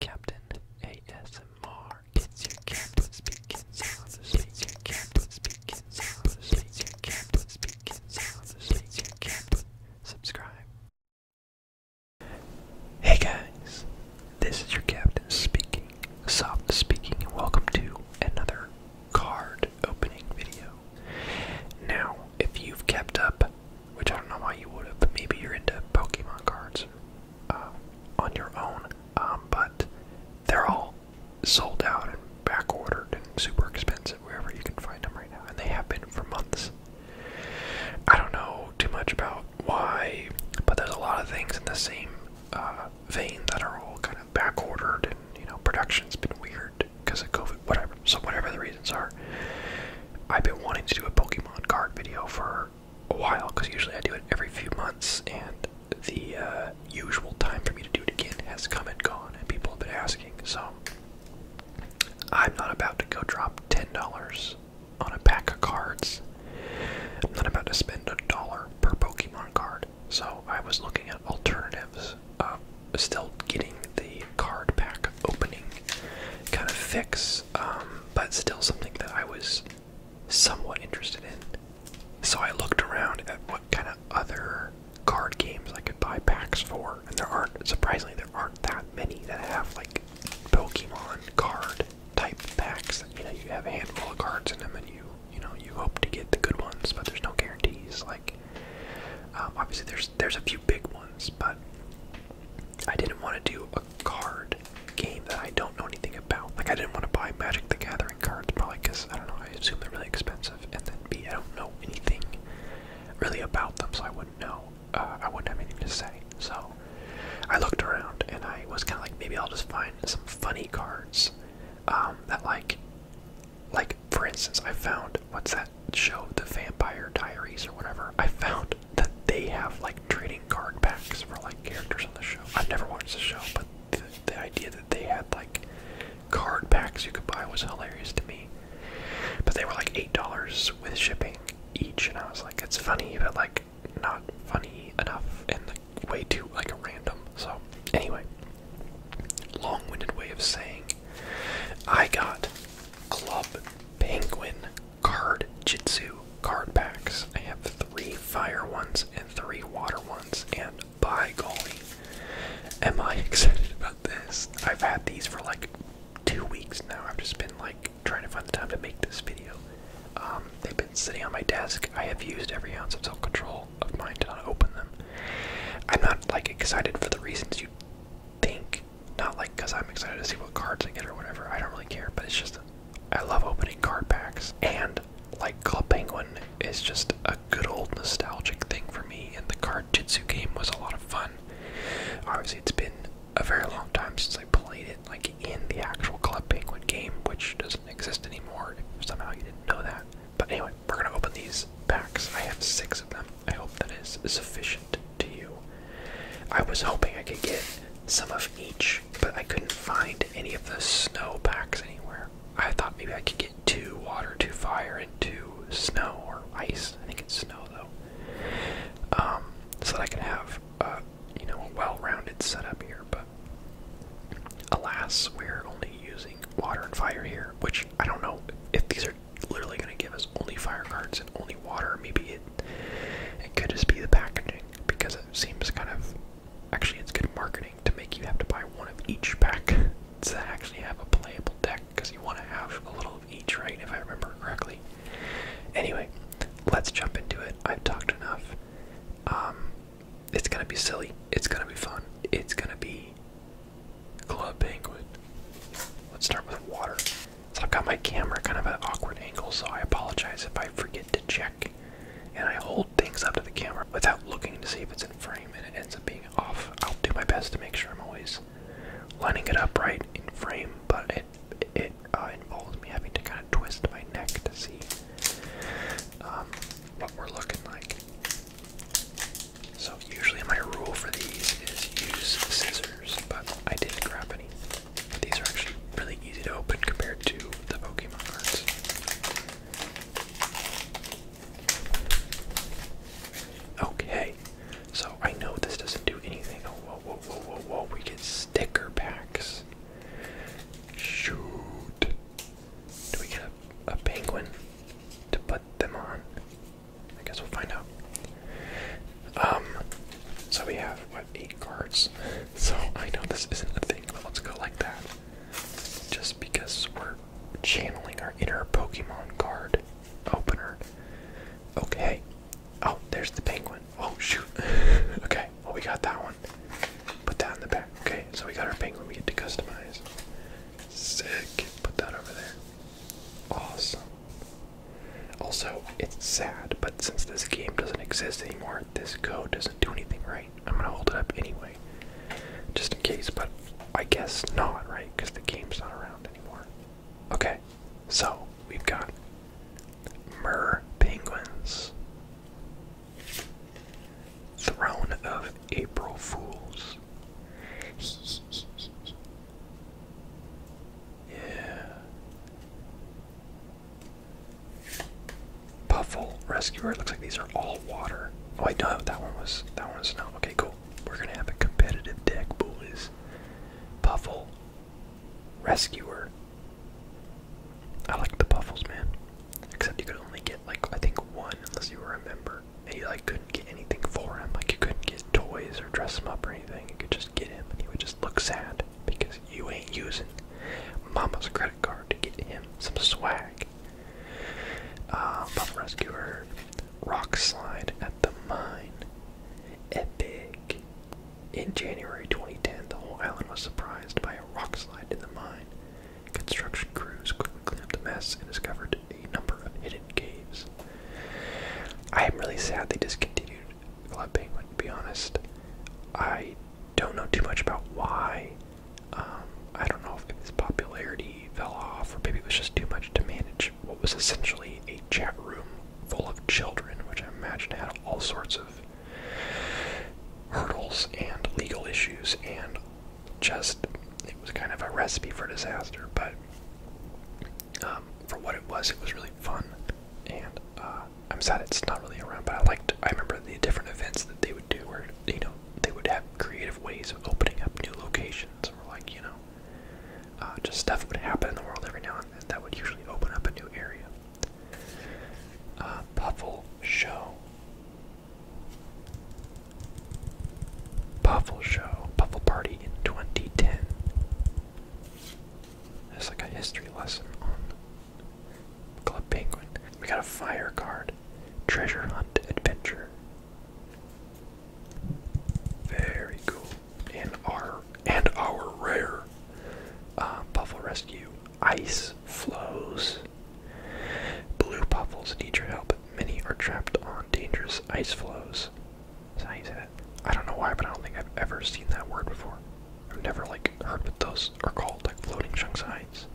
Captain ASMR. It's your captain speaking softly. It's your captain speaking It's your captain speaking It's your captain. Subscribe. Hey guys, this is your captain speaking, soft speaking, and welcome to another card opening video. Now, if you've kept up which I don't know why you would have, but maybe you're into Pokemon cards uh, on your own. Um, but they're all sold out and back ordered and super expensive wherever you can find them right now, and they have been for months. I don't know too much about why, but there's a lot of things in the same uh, vein that are all kind of back ordered, and you know, production's been weird because of COVID, whatever. So, whatever the reasons are, I've been wanting to do a Pokemon card video for a while because usually I do it every few months, and the uh, usual time for me to do it again has come and gone, and people have been asking. So I'm not about to go drop ten dollars on a pack of cards. I'm not about to spend a dollar per Pokemon card. So I was looking at alternatives. Uh, still getting the card pack opening kind of fix um, but still something that I was somewhat interested in. So I looked around at what kind of other card games I could buy packs for, and there aren't, surprisingly, there aren't that many that have like Pokemon card type packs. You know, you have a handful of cards in them and you, you know, you hope to get the good ones, but there's no guarantees. Like, um, obviously, there's, there's a few big ones, but I didn't want to do a card game that I don't know anything about. Like I didn't want to buy Magic the Gathering cards probably because I don't know, I assume they're really expensive and then B I don't know anything really about them so I wouldn't know. Uh, I wouldn't have anything to say. So I looked around and I was kinda like maybe I'll just find some funny cards. Um, that like like for instance I found what's that show, The Vampire Diaries or whatever. I found that they have like trading card packs for like characters on the show. I've never watched the show, but the, idea that they had like card packs you could buy was hilarious to me. But they were like eight dollars with shipping each, and I was like, it's funny, but like not funny enough, and way too like random. So anyway, long-winded way of saying I got Club Penguin card jitsu card packs. I have three fire ones and three water ones, and by golly, am I excited about this? I've had these for like two weeks now. I've just been like trying to find the time to make this video. Um, they've been sitting on my desk. I have used every ounce of self control of mine to not open them. I'm not like excited for the reasons you think. Not like because I'm excited to see what cards I get or whatever. I don't really care, but it's just I love opening card packs. And, like Club Penguin, is just a good old nostalgic thing for me, and the card Jitsu game was a lot of fun. Obviously, it's been a very long time since I played it, like in the actual Club Penguin game, which doesn't exist anymore somehow you didn't know that. But anyway, we're gonna open these packs. I have six of them. I hope that is sufficient to you. I was hoping I could get some of each, but I couldn't find any of the snow packs anywhere. I thought maybe I could get two water, two fire, and two snow or ice. I think it's snow though. Um, so that I could have uh, you know a well-rounded setup here, but alas, we're only using water and fire here, which I don't know if these are literally going to give us only fire cards only water. Maybe it it could just be the packaging because it seems kind of actually it's good marketing to make you have to buy one of each pack to actually have a playable deck because you want to have a little of each, right? If I remember correctly. Anyway, let's jump into it. I've talked enough. Um, it's gonna be silly. It's gonna be fun. It's gonna be Club Banquet. Let's start with water. So I've got my camera kind of at an awkward angle, so I apologize if I forget to check and I hold things up to the camera without looking to see if it's in frame and it ends up being off. I'll do my best to make sure I'm always lining it up right in frame, but it it uh, involves me having to kind of twist my neck to see um, what we're looking like. So usually my rule for these is use scissors, but I didn't grab any. These are actually really easy to open compared to the Pokemon cards. Okay, so I know this doesn't do anything. whoa, whoa, whoa, whoa, whoa. We get sticker packs. Shoot. Do we get a penguin to put them on? I guess we'll find out. Um, so we have what eight cards. So I know this isn't a thing, but let's go like that. Just because we're channeling our inner Pokemon card opener. Okay. Oh, there's the penguin. Oh shoot. okay. Well, we got that one. Put that in the back. Okay. So we got our penguin. We get to customize. Sick. Put that over there. Awesome. Also, it's sad, but since this game doesn't exist anymore, this code doesn't do anything right. I'm gonna hold it up anyway, just in case, but I guess not, right? Because the game's not around anymore. Okay, so we've got Mer Penguins. Throne of April Fools. yeah. Puffle Rescuer. looks like these are all water. Oh, I know that one was that one's was Okay, cool. We're gonna have a competitive deck, boys. Puffle Rescuer. I like the puffles, man. Except you could only get like I think one unless you were a member, and you like couldn't get anything for him. Like you couldn't get toys or dress him up or anything. You could just get him, and he would just look sad because you ain't using Mama's credit card to get him some swag. Uh, Rescuer, Rock Slide at the Mine, Epic. In January 2010, the whole island was surprised by a rock slide in the mine. Construction crews quickly cleaned up the mess and discovered a number of hidden caves. I am really sad they discontinued Club Penguin, to be honest. I don't know too much about why. Um, I don't know if its popularity fell off, or maybe it was just too much to manage what was essentially a chat room full of children, which I imagine had all sorts of hurdles and legal issues, and just it was kind of a recipe for disaster. But um, for what it was, it was really fun, and uh, I'm sad it's not really around, but I liked. I remember the different events that they would do, where you know they would have creative ways of opening up new locations, or like you know, uh, just stuff would happen in the world every now and then that would usually open up a new area. Uh, Puffle Show. Puffle Show, Puffle Party in 2010. It's like a history lesson on Club Penguin. We got a fire guard, Treasure hunt adventure. Very cool. And our and our rare uh, Puffle Rescue. Ice flows. Blue Puffles need your help. Many are trapped on dangerous ice floes. That's how I don't know why, but I don't think I've ever seen that word before. I've never like heard what those are called, like floating chunks of ice.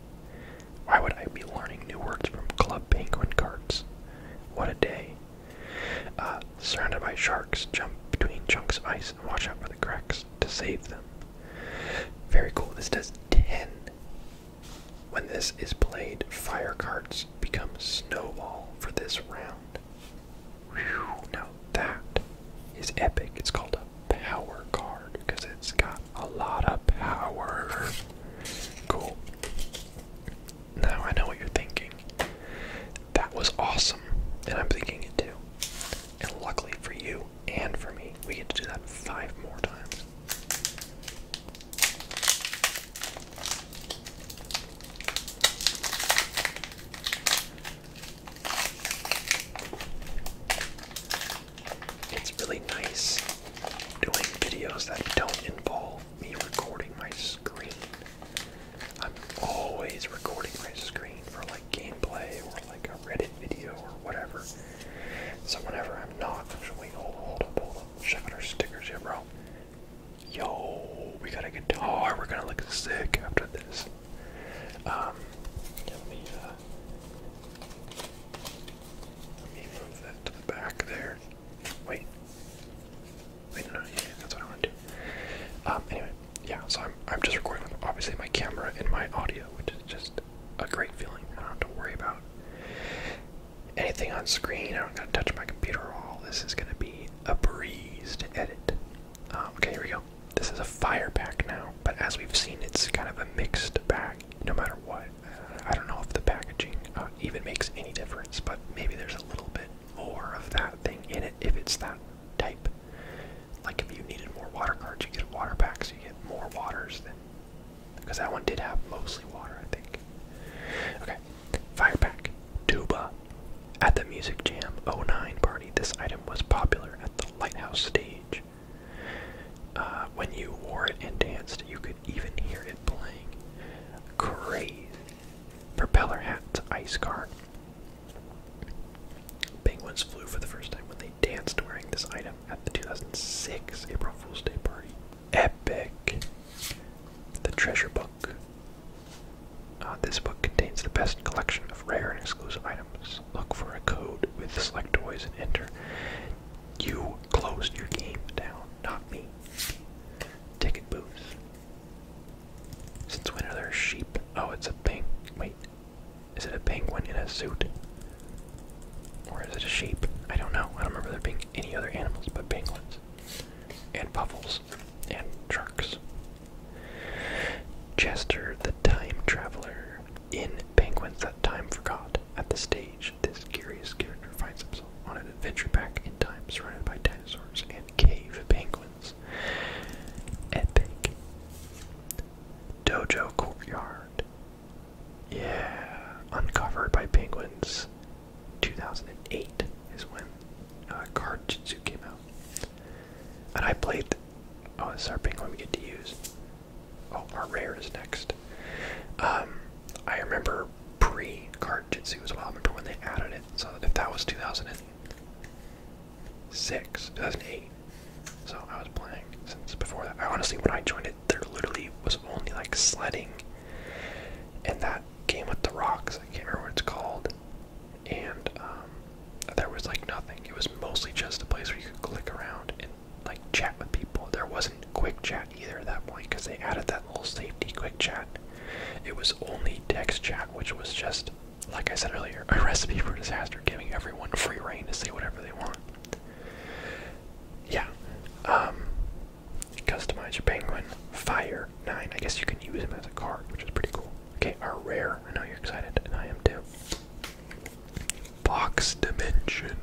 Why would I be learning new words from Club Penguin cards? What a day. Uh, surrounded by sharks, jump between chunks of ice and watch out for the cracks to save them. Very cool. This does 10. When this is played, fire cards become snowball for this round. Now that is epic. It's called a power card because it's got a lot of power. Cool. Now I know what you're thinking. That was awesome, and I'm thinking it too. And luckily for you and for me, we get to do that five more times. It's really nice doing videos that don't involve me recording my screen. I'm always recording my screen for like gameplay or like a Reddit video or whatever. So whenever I'm not, actually, hold, hold up, hold up, check out our stickers here, bro. Yo, we got a guitar. We're gonna look sick after this. Um, uh, let me, move that to the back there. Wait. Wait, no, yeah, that's what I want to do. Um, anyway, yeah, so I'm, I'm just recording obviously my camera and my audio, which is just a great feeling. I don't have to worry about anything on screen. I don't gotta touch my computer at all. This is gonna be a breeze to edit. Um, okay, here we go. This is a fire pack now, but as we've seen, it's kind of a mixed bag. no matter what. Uh, I don't know if the packaging uh, even makes any difference, but maybe there's a little bit more of that thing in it if it's that type. Like if you needed more water cards, you get water packs, you get more waters than. Because that one did have mostly water, I think. Okay, fire pack. Duba, At the Music Jam 09 party, this item was popular at the Lighthouse stage. Uh, when you wore it and danced, you could even hear it playing. Crazy. Propeller hats, ice card. Penguins flew for the first time when they danced wearing this item at the 2006 April Fool's Day party. Epic. The treasure book. Uh, this book contains the best collection of rare and exclusive items. Look for a code with select toys and enter. You closed your game down, not me. Ticket booth. Since when are sheep? Oh, it's a penguin. Wait, is it a penguin in a suit? Or is it a sheep? I don't know. I don't remember there being any other animals but penguins. And puffles and trucks. Chester the Time Traveler. In Penguins That Time Forgot, at the stage, this curious character finds himself on an adventure back in time surrounded by dinosaurs and cave penguins. Epic. Dojo Courtyard. Yeah, uncovered by penguins. 2008 is when uh, Card Jitsu came out. And I played. Oh, sorry, is our one we get to use. Oh, our rare is next. Um, I remember pre Card Jitsu was well. I remember when they added it. So if that was 2006, 2008. So I was playing since before that. I honestly, when I joined it, there literally was only like sledding. And that game with the rocks, I can't remember what it's called and um, there was like nothing. It was mostly just a place where you could click around and like chat with people. There wasn't quick chat either at that point because they added that little safety quick chat. It was only text chat, which was just, like I said earlier, a recipe for disaster, giving everyone free reign to say whatever they want. Yeah. Um, customize your penguin. Fire nine. I guess you can use him as a card, which is pretty cool. Okay, our rare. I know you're excited, and I am too. Box Dimension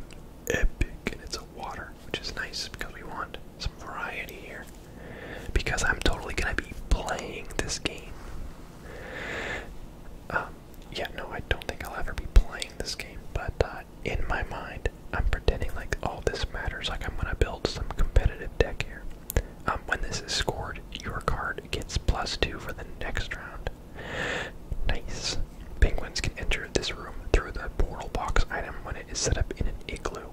Epic, and it's a water, which is nice because we want some variety here. Because I'm totally gonna be playing this game. Um, yeah, no, I don't think I'll ever be playing this game, but uh, in my mind, I'm pretending like all this matters. Like I'm gonna build some competitive deck here. Um, when this is scored, your card gets plus two for the next round. Nice. Penguins can enter this room through the portal box item when it is set up in an igloo.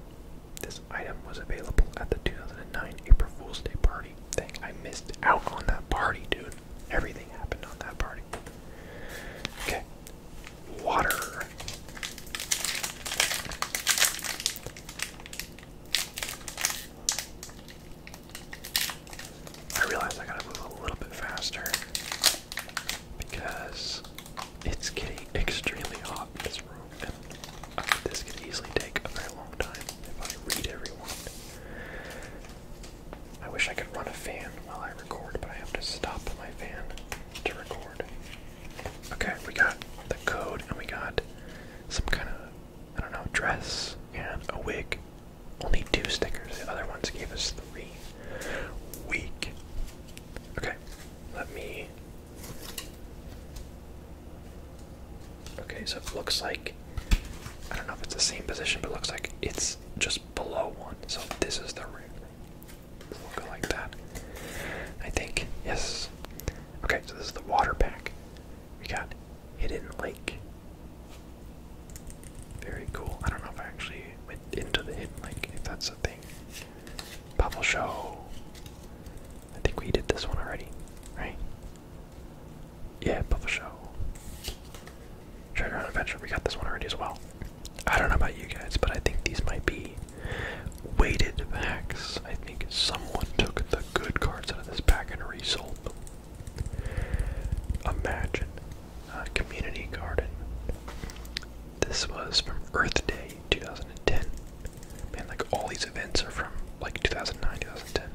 This item was available at the 2009 April Fool's Day party. Thing I missed out on that party, dude. Everything happened on that party. Okay, water. I realize I gotta move a little bit faster because it's getting extremely hot in this room, and this could easily take a very long time if I read everyone. I wish I could run a fan while I record, but I have to stop my fan to record. Okay, we got the code and we got some kind of I don't know, dress and a wig. Only two stickers. The other ones gave us three. Weak. Okay, let me. Okay, so it looks like. I don't know if it's the same position, but it looks like it's just below one. So this is the ring. we like that. I think, yes. Okay, so this is the water pack. We got Hidden Lake. Very cool. I don't know if I actually went into the Hidden Lake, if that's a thing. Bubble Show. I think we did this one already, right? Yeah, Bubble Show. Treasure Hunt Adventure, we got this one already as well. I don't know about you guys, but I think these might be weighted packs. I think someone took the good cards out of this pack and resold them. Imagine Community Garden. This was from Earth Day 2010. Man, like all these events are from like 2009, 2010.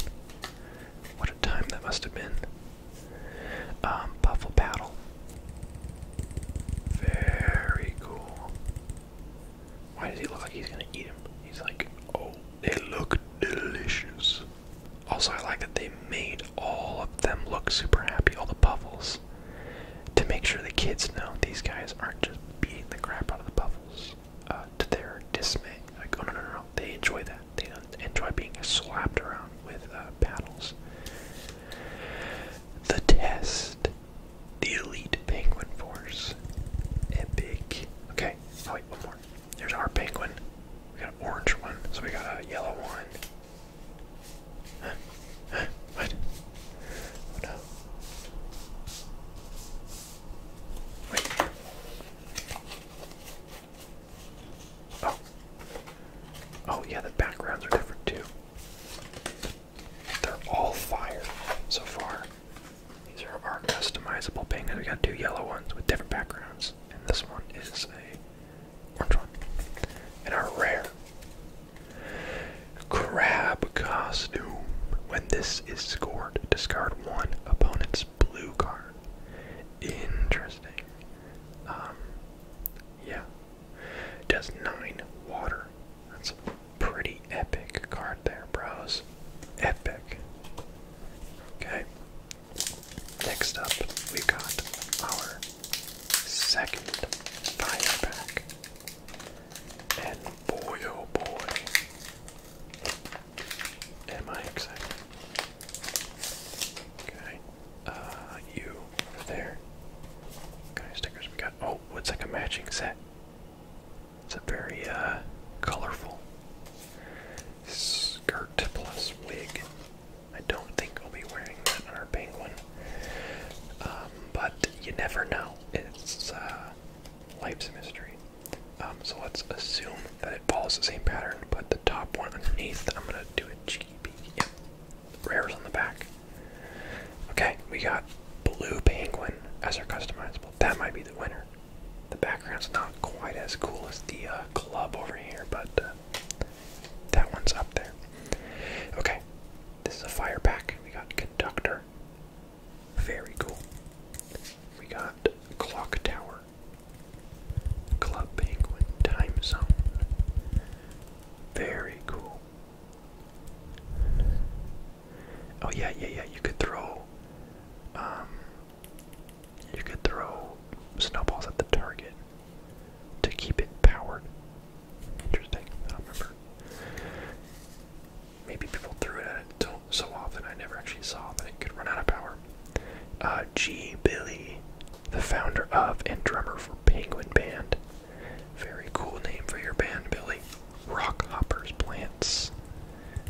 What a time that must have been. Um, Buffalo Very cool. Why does he look like he's gonna eat him? He's like, oh, they look delicious. Also, I like that they made all of them look super happy, all the puffles, to make sure the kids know these guys aren't just beating the crap out of the puffles uh, to their dismay. Like, oh no, no, no, they enjoy that. They enjoy being slapped around with uh, paddles. The test. The elite penguin force. Epic. Okay, Oh wait, one more. There's our penguin. We got an orange one, so we got a yellow one. Huh? What? Oh Wait. Oh. Oh yeah, the backgrounds are different too. They're all fire so far. These are our customizable penguins. We got two yellow ones with different backgrounds, and this one is a orange one. And our rare crab costume. When this is scored, discard one opponent's blue card. Interesting. Um, yeah. Does nine water. That's Pretty epic card there, bros. Epic. Okay. Next up, we got our second fire pack. And boy, oh boy, am I excited. Okay. Uh, you over there. Okay, stickers we got. Oh, it's like a matching set. It's a very uh, colorful skirt plus wig. I don't think I'll be wearing that on our penguin. Um, but you never know. It's uh, life's a mystery. Um, so let's assume that it follows the same pattern, but the top one underneath, I'm gonna do a GB. Yep. Rares on the back. Okay, we got blue penguin as our customizable. That might be the winner. The background's not quite as cool as the uh, club over here, but uh, that one's up there. Okay, this is a fire pack. We got conductor, very cool. We got clock tower, club penguin, time zone, very cool. Oh yeah, yeah, yeah. You could throw, um, you could throw snowballs at the target to keep it powered. Interesting. I don't remember. Maybe people threw it at it so, so often I never actually saw that it could run out of power. Uh, G. Billy, the founder of and drummer for Penguin Band. Very cool name for your band, Billy rockhoppers plants.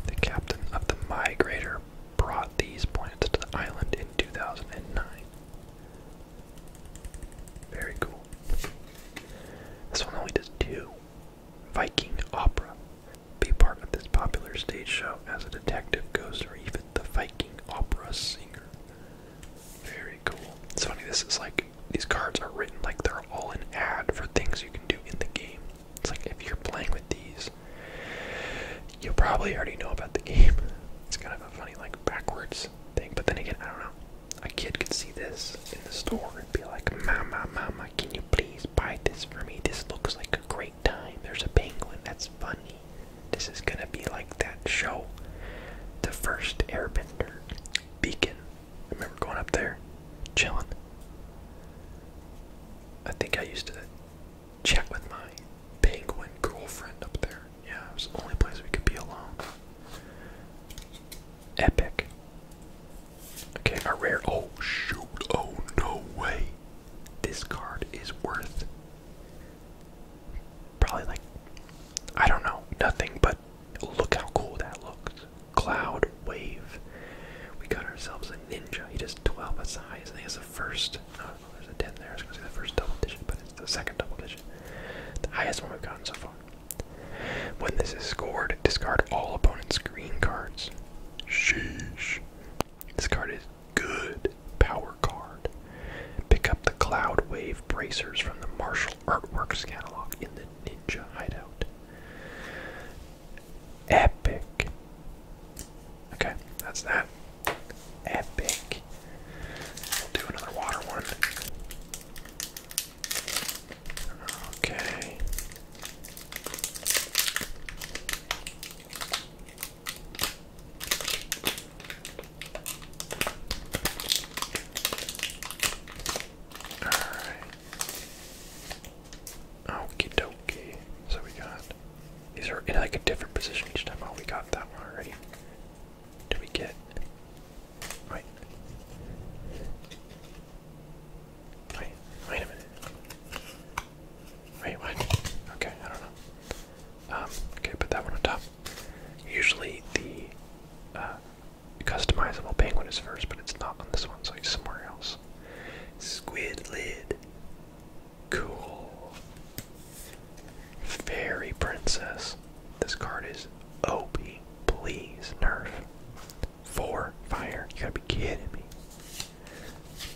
The captain of the migrator brought these plants to the island in 2009. Very cool. This one only does two. Viking opera. Be part of this popular stage show as a detective ghost or even the Viking opera singer. Very cool. It's funny, this is like, these cards are written like they're all an ad for things you can do in the game. It's like if you're playing with these, you probably already know about the game. It's kind of a funny, like, backwards thing. But then again, I don't know. A kid could see this in the store and be like, Mama, Mama, can you please buy this for me? This looks like a great time. There's a penguin. That's funny. This is gonna be like that show. The first airbender. Beacon I remember going up there, chilling. I think I used to check with my penguin girlfriend up there. Yeah, it was the only place we could be alone. Epic. Okay, our rare. Oh, shoot. Oh, no way. This card is worth probably like, I don't know, nothing, but look how cool that looks. Cloud Wave. We got ourselves a ninja. He just 12 SIs. I think it's the first. there's a 10 there. It's going to be the first double digit, but it's the second double digit. The highest one we've gotten so far. When this is scored, discard all opponent's green cards. Sheesh. This card is good. Power card. Pick up the Cloud Wave bracers from the Martial Artworks catalog in the Ninja Hideout. Epic. Okay, that's that. Epic. We'll do another water one. Okay. All right. Okie dokie. So we got these are in like a different position each time. Oh, we got that one already. Do we get? Wait. Wait. Wait a minute. Wait, what? Okay, I don't know. Um, okay, put that one on top. Usually the uh, customizable penguin is first, but it's not on this one, so it's somewhere else. Squid lid. Cool. Fairy princess. This card is OP. Please, nerf. Four fire. You gotta be kidding me.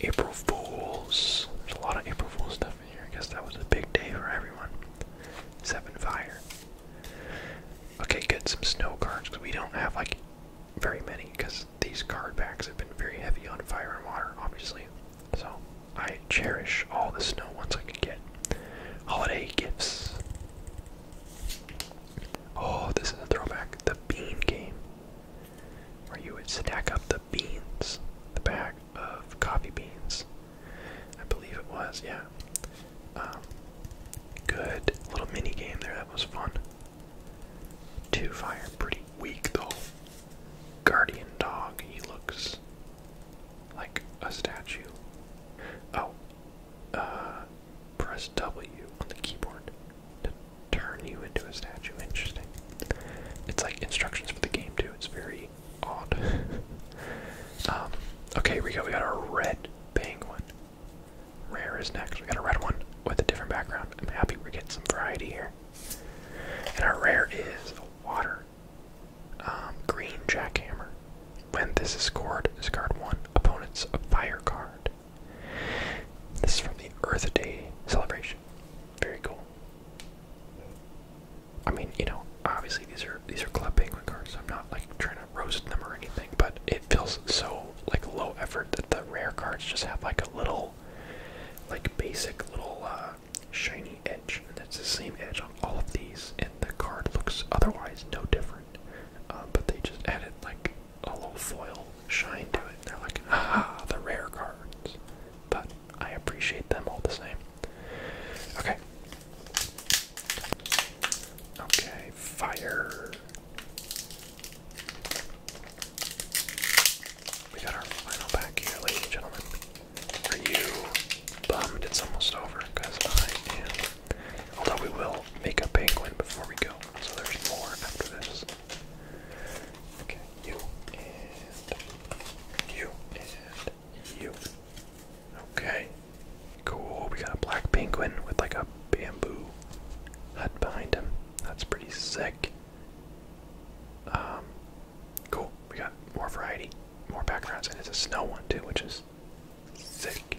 April Fools. There's a lot of April Fools stuff in here. I guess that was a big day for everyone. Seven fire. Okay, get some snow cards because we don't have like very many because these card packs have been very heavy on fire and water, obviously. So I cherish all the snow ones I can get. Holiday gifts. Oh, this is a throwback. The bean game. Where you would stack up the beans, the bag of coffee beans. I believe it was, yeah. Um, good little mini game there, that was fun. Two fire, pretty weak though. Guardian dog, he looks like a statue. Oh, uh, press W on the keyboard to turn you into a statue. Interesting. It's like instructions for the game too. It's very odd. um, okay, we go. We got our red penguin. Rare is next. We got a red one with a different background. I'm happy we're getting some variety here. And our rare is a water. Um, green jackhammer. When this is scored, discard one opponent's fire card. This is from the Earth Day celebration. Very cool. I mean, you know, obviously these are these are Club Penguin cards. So I'm not like trying to roast them or anything, but it feels so like low effort that the rare cards just have like a little, like basic little uh, shiny edge, and it's the same edge on all of these, and the card looks otherwise no different, um, but they just added like a little foil shine to it. And they're like, ah, the rare cards, but I appreciate them all the same. Okay. Okay, fire. We got our final pack here, ladies and gentlemen. Are you bummed it's almost over? Because I am. Although we will make a penguin before we go, so there's more after this. Okay, you and you and you. Okay, cool. We got a black penguin with like a bamboo hut behind him. That's pretty sick. Um, cool. We got more variety, more backgrounds, and it's a snow one too, which is sick.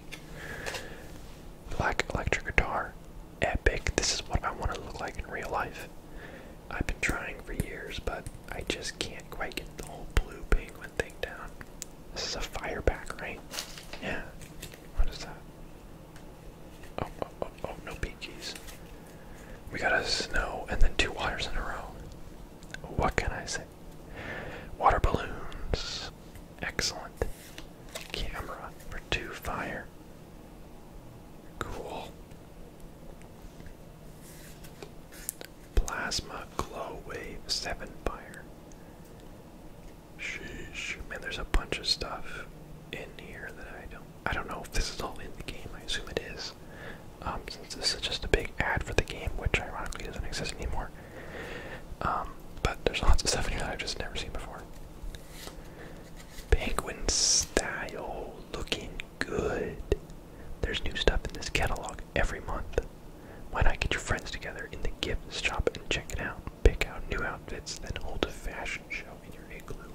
Black electric guitar, epic. This is what I want to look like in real life. I've been trying for years, but I just can't quite get the whole blue penguin thing down. This is a fire back, right? Yeah. What is that? Oh, oh, oh, oh, no peakies. We got a snow and then two waters in a row. What can I say? Water balloons. Excellent. Camera for two fire. Cool. Plasma glow wave seven fire. Man, there's a bunch of stuff in here that I don't. I don't know if this is all in the game. I assume it is. Um, since this is just a big ad for the game, which ironically doesn't exist anymore. Um, but there's lots of stuff in here that I've just never seen before. Penguin style, looking good. There's new stuff in this catalog every month. Why not get your friends together in the gift shop and check it out? pick out new outfits than hold a fashion show in your igloo.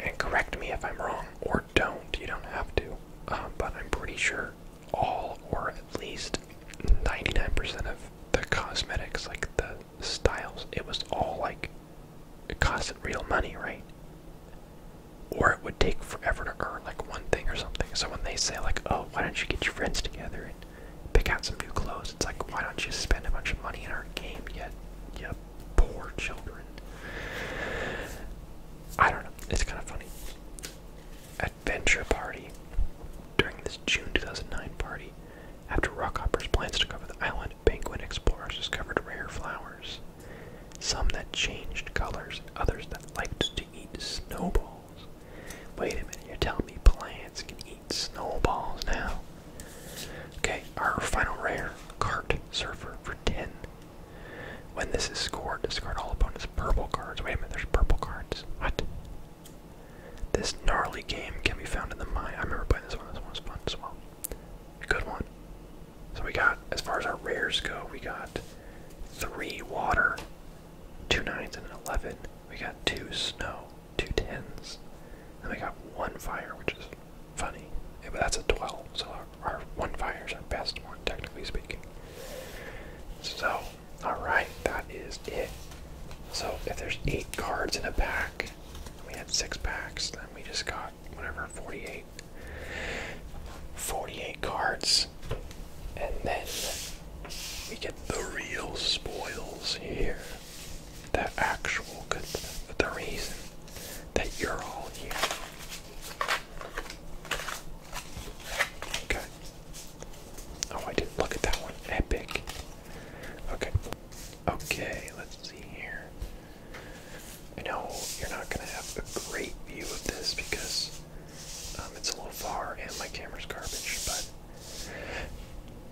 And correct me if I'm wrong, or don't, you don't have to, um, but I'm pretty sure all, or at least 99% of the cosmetics, like the styles, it was all like, it costed real money, right? Or it would take forever to earn like one thing or something. So when they say like, oh, why don't you get your friends together and pick out some new clothes. It's like, why don't you spend a bunch of money in our game, yet, you poor children? I don't know. It's kind of funny. Adventure party. During this June 2009 party, after Rockhoppers' plans to cover the island, penguin explorers discovered rare flowers. Some that changed colors, others that liked to eat snowballs. Wait a minute, you're telling me plants can eat snowballs now? Okay, our final rare, Cart Surfer for 10. When this is scored, discard all opponents' purple cards. Wait a minute, there's purple cards. What? This gnarly game can be found in the mine. I remember playing this one. This one was fun as well. A Good one. So we got, as far as our rares go, we got three water, two nines, and an eleven. We got two snow, two tens. And we got one fire, which is funny. but that's a 12, so our, our one fire is our best one, technically speaking. So, alright, that is it. So, if there's eight cards in a pack, we had six packs, then we just got whatever, 48. 48 cards. And then we get the real spoils here. The actual good, the reason that you're all here. Okay. Oh, I did look at that one. Epic. Okay. Okay, let's see here. I know you're not going to have a great view of this because um, it's a little far and my camera's garbage, but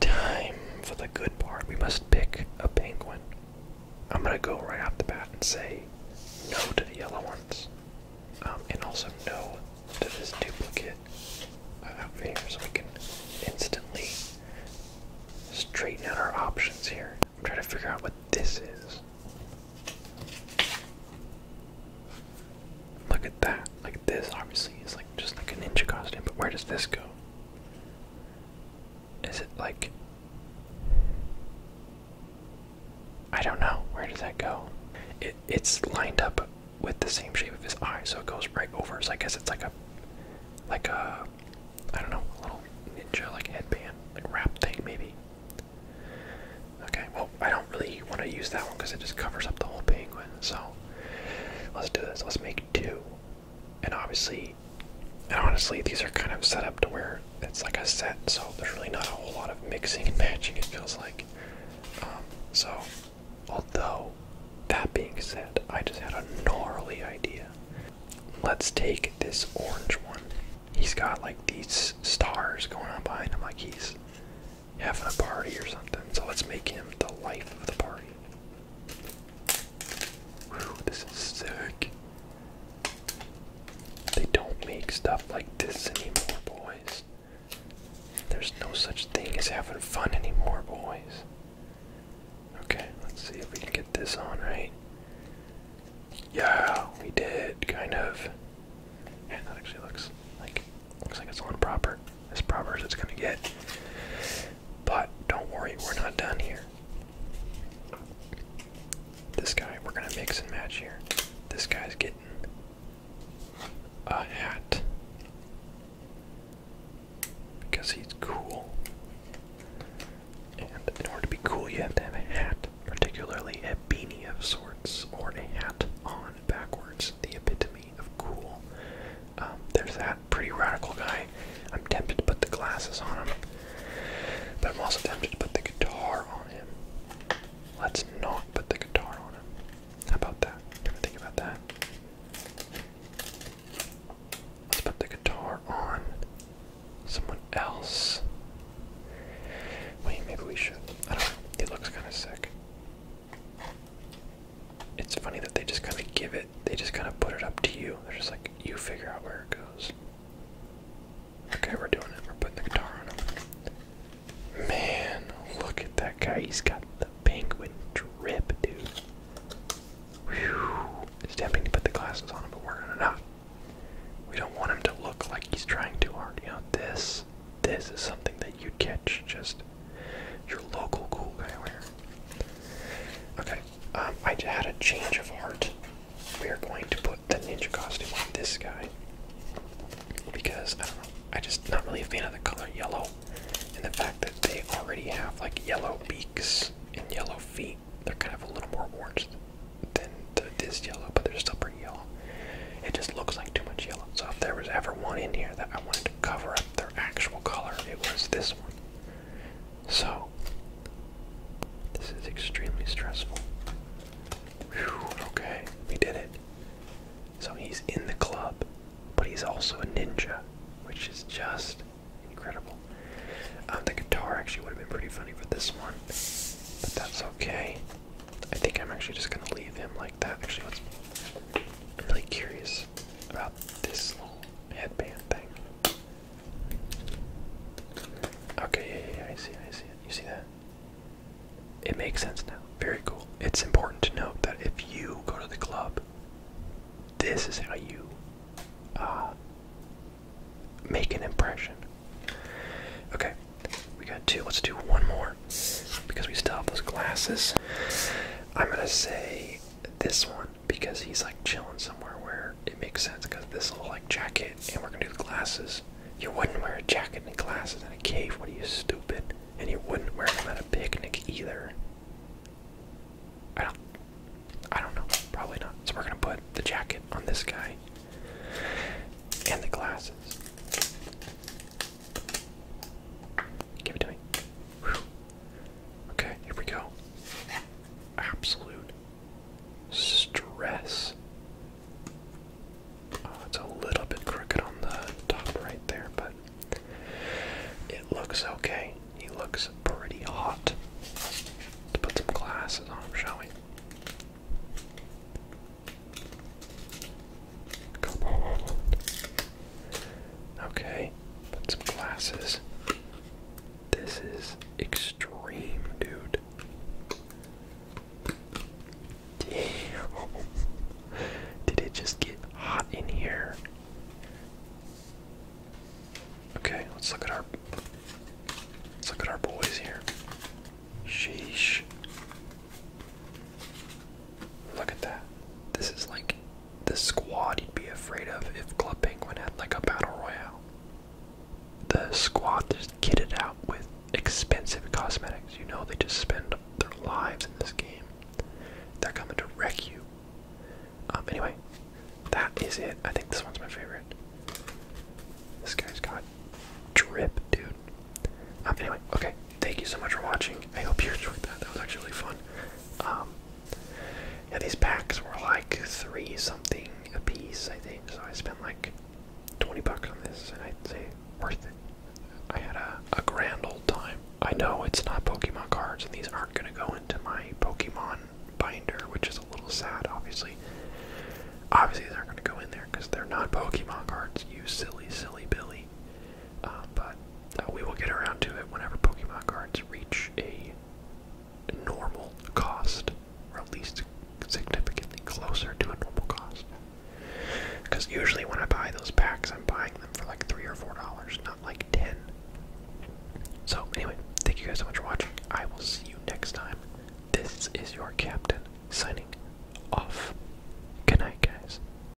Time for the good part. We must pick a penguin. I'm gonna go right off the bat and say no to the yellow ones, um, and also no to this duplicate up here, so we can instantly straighten out our options here. I'm trying to figure out what this is. Look at that. Like this obviously is like just like a ninja costume, but where does this go? Is it like I don't know. Where does that go? It it's lined up with the same shape of his eye, so it goes right over. So I guess it's like a like a I don't know, a little ninja like headband, like wrap thing maybe. Okay, well I don't really want to use that one because it just covers up the whole penguin, so Let's do this. Let's make two. And obviously, and honestly, these are kind of set up to where it's like a set, so there's really not a whole lot of mixing and matching, it feels like. Um, so, although, that being said, I just had a gnarly idea. Let's take this orange one. He's got like these stars going on behind him, like he's having a party or something. So let's make him the life of the party. this is sick. They don't make stuff like this anymore, boys. There's no such thing as having fun anymore, boys. Okay, let's see if we can get this on right. Yeah, we did, kind of. And that actually looks like, looks like it's on proper, as proper as it's gonna get. But don't worry, we're not done here. This guy, we're gonna mix and match here. This guy's getting a hat because he's cool. And in order to be cool, you have to have a hat, particularly a beanie of sorts, or a hat on backwards, the epitome of cool. Um, there's that pretty radical guy. I'm tempted to put the glasses on him, but I'm also tempted to put the guitar on him. Let's not put the guitar on him. How about that? Can I think about that? Let's put the guitar on someone else. Wait, maybe we should. I don't know. He looks kind of sick. It's funny that they just kind of give it, they just kind of put it up to you. They're just like, you figure out where it goes. Okay, we're doing it. We're putting the guitar on him. Man, look at that guy. He's got the penguin drip, dude. Whew. It's to put the glasses on him, but we're gonna not. We don't want him to look like he's trying too hard. You know, this, this is something that you'd catch just your local cool guy wear. Okay, um, I had a change of heart. We are going to put the ninja costume on this guy because I don't know. I just not really a fan of the color yellow, and the fact that they already have like yellow beaks and yellow feet. They're kind of a little more orange than the, this yellow, but they're still pretty yellow. It just looks like too much yellow. So if there was ever one in here that I wanted to cover up their actual color, it was this one. So, this is extremely stressful. okay, we did it. So he's in the club, but he's also a ninja, which is just incredible. Um, the guitar actually would have been pretty funny for this one, but that's okay. I think I'm actually just gonna leave him like that. Actually, let's, I'm really curious about this little headband thing. Okay, yeah, I see I see it. You see that? It makes sense now. Very cool. It's important to note that if you go to the club, this is how you uh, make an impression. Okay, we got two. Let's do one more because we still have those glasses. I'm gonna say this one because he's like chilling somewhere where it makes sense because this little like jacket and we're gonna do the glasses. You wouldn't wear a jacket and glasses in a cave, what are you stupid? And you wouldn't wear them at a picnic either. I don't I don't know. Probably not. So we're gonna put the jacket on this guy. And the glasses. Give it to me. Okay, here we go. Absolute stress. Oh, it's a little bit crooked on the top right there, but it looks okay. He looks pretty hot. Let's put some glasses on him, shall we? Okay, put some glasses. This is extreme, dude. Damn. Did it just get hot in here? Okay, let's look at our let's look at our boys here. Sheesh. Look at that. This is like the squad you'd be afraid of if Club Penguin had like a battle royale. The squad just kitted out with expensive cosmetics. You know they just spend their lives in this game. They're coming to wreck you. Um anyway, that is it. I think this one's my favorite. This guy's got drip, dude. Um anyway, okay thank you so much for watching. I hope you enjoyed that. That was actually fun. Um, these packs were like three something a piece, I think. So I spent like 20 bucks on this, and I'd say worth it. I had a, a grand old time. I know it's not Pokemon cards, and these aren't going to go into my Pokemon binder, which is a little sad, obviously. Obviously, they're going to go in there because they're not Pokemon cards, you silly, silly Billy. Uh, but uh, we will get around to it whenever Pokemon cards reach a normal cost, or at least significantly closer to a normal cost. Because usually when I buy those packs, I'm buying them for like three or four dollars, not like ten. So anyway, thank you guys so much for watching. I will see you next time. This is your captain signing off. Good night, guys.